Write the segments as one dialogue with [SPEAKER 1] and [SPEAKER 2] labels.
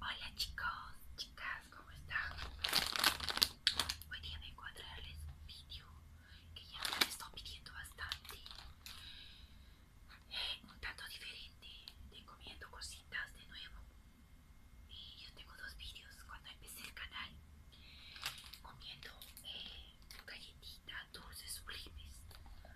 [SPEAKER 1] Hola chicos, chicas, ¿cómo están? Hoy día vengo a traerles un vídeo que ya me estoy pidiendo bastante. Eh, un tanto diferente de comiendo cositas de nuevo. Y yo tengo dos vídeos cuando empecé el canal comiendo eh, galletitas dulces sublimes.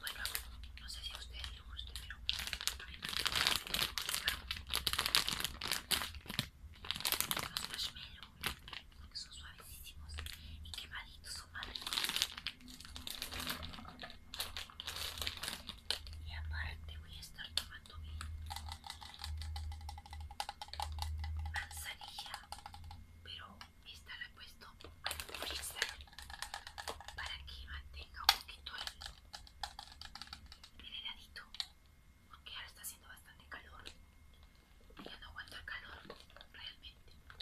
[SPEAKER 1] Bueno, no sé si a ustedes les guste, pero los marshmallows son suavecísimos y quemaditos son madres. Y aparte voy a estar tomando mi manzanilla, pero esta la he puesto para que mantenga un poquito el, heladito porque ahora está haciendo bastante calor ya no aguanta el calor realmente esto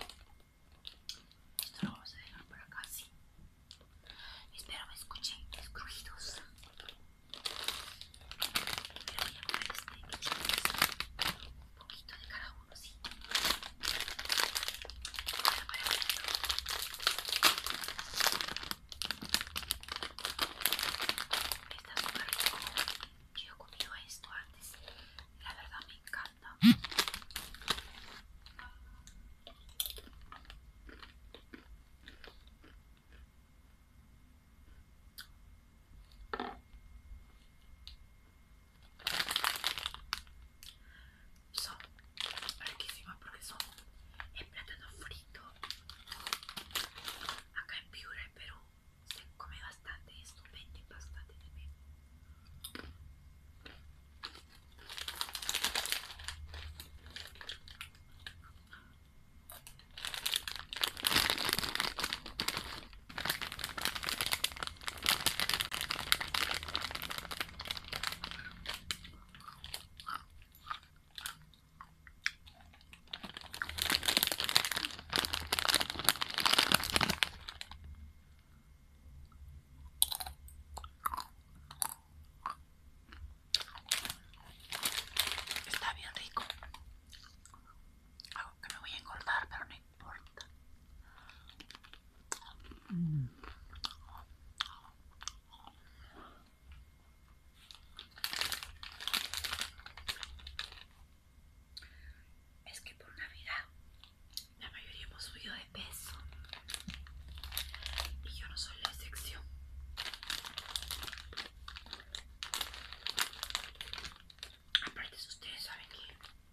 [SPEAKER 1] lo vamos a dejar por acá sí espero me escuchen los este, un poquito de cada uno sí Está súper rico. Yo he comido esto antes. La verdad me encanta. sono ricchissima perché sono e platano frito acá en Piura, Perú se come bastante y esto vende bastante también Está bien rico. Algo que me voy a engordar, pero importa. Es que por Navidad la mayoría hemos subido de peso y yo no soy la excepción. Aparte, ustedes saben que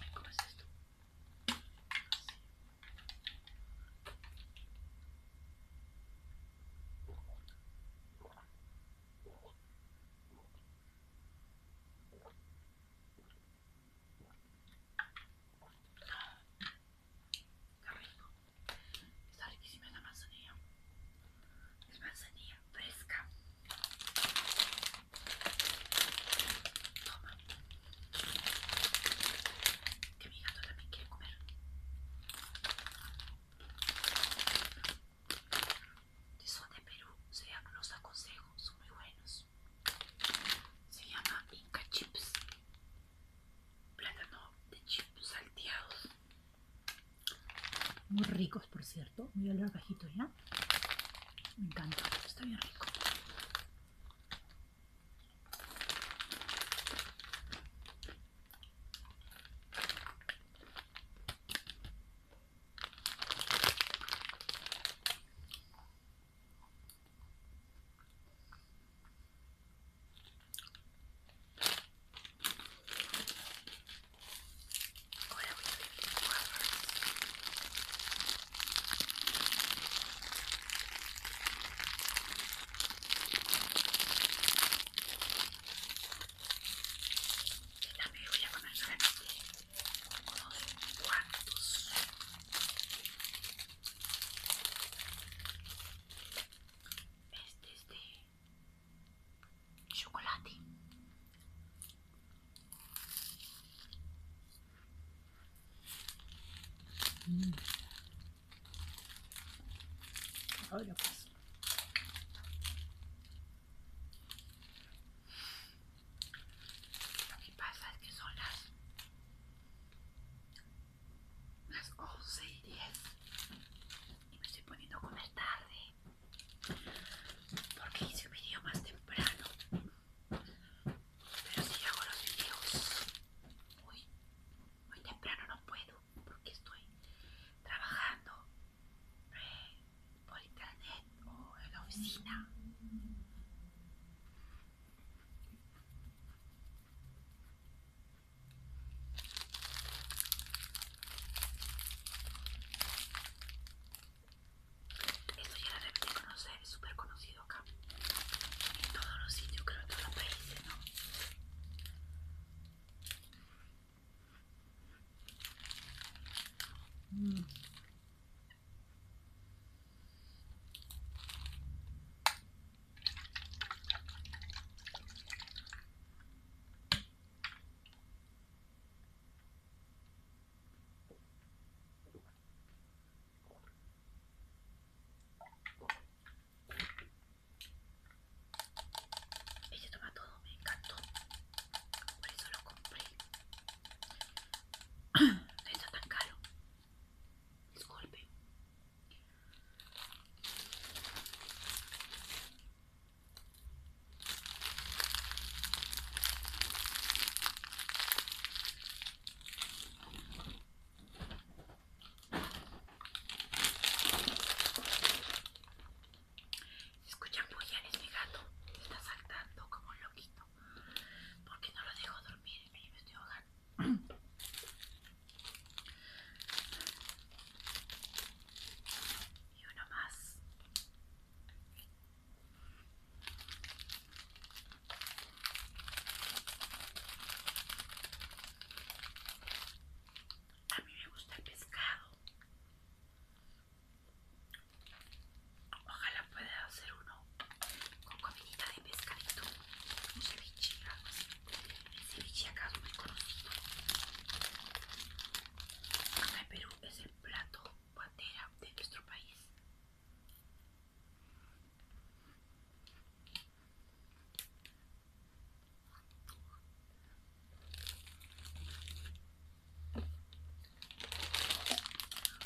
[SPEAKER 1] y ¿Cómo es esto? rico. Está riquísima la manzanilla fresca. Toma. Que mi gato también quiere comer. Si son de Perú, se los aconsejo, son muy buenos. Se llama Inca Chips. Plátano de chips salteados. Muy ricos, por cierto. muy a ya. Me encanta, está bien rico. Ahora voy a abrir mi cuadro. Y también voy a poner solamente unos cuantos. Este es de chocolate qué mm. pues. Lo pasa es que son las las 11 y 10 y me estoy poniendo a comer tarde porque hice un video más temprano pero si hago los videos muy, temprano no puedo porque estoy trabajando eh, por internet o en la oficina esto ya la de conocer, es súper conocido acá. En todos los sitios, creo, en todos los países, ¿no? Ella toma todo, me encantó. Por eso lo compré. No está tan caro. Disculpe. Escuchan muy es mi gato, está saltando como un loquito, porque no lo dejo dormir, y me estoy ahogando. Y uno más. A mí me gusta el pescado. Ojalá pueda hacer uno con comida de pescadito, un ceviche, algo así. El ceviche acá es muy conocido. Acá en Perú es el plato bandera de nuestro país.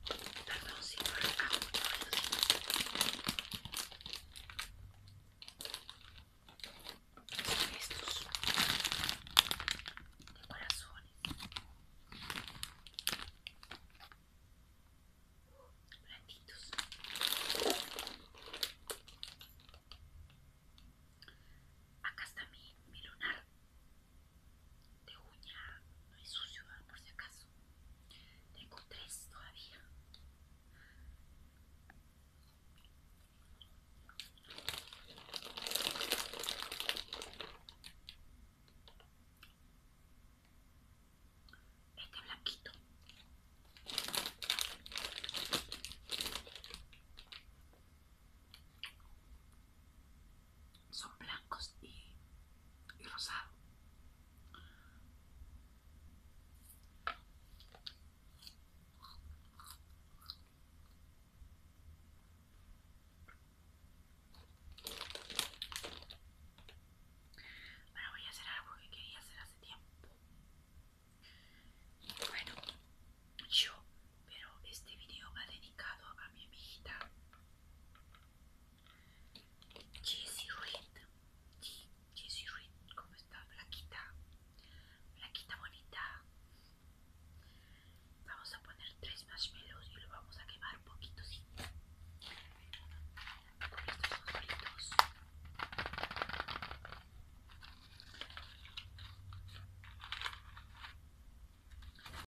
[SPEAKER 1] Perdón si no les hago mucho ruido. Estos corazones. Blanquitos. Acá está mi lunar de uña, no es sucio por si acaso. Tengo tres todavía. Este blanquito son blancos y, y rosado bueno voy a hacer algo que quería hacer hace tiempo bueno yo pero este video va dedicado a mi amiguita Jessie Reed. Jessie Reed, ¿cómo está? Blaquita. Blaquita bonita. Vamos a poner tres marshmallows y lo vamos a quemar un poquito, sí. Estos son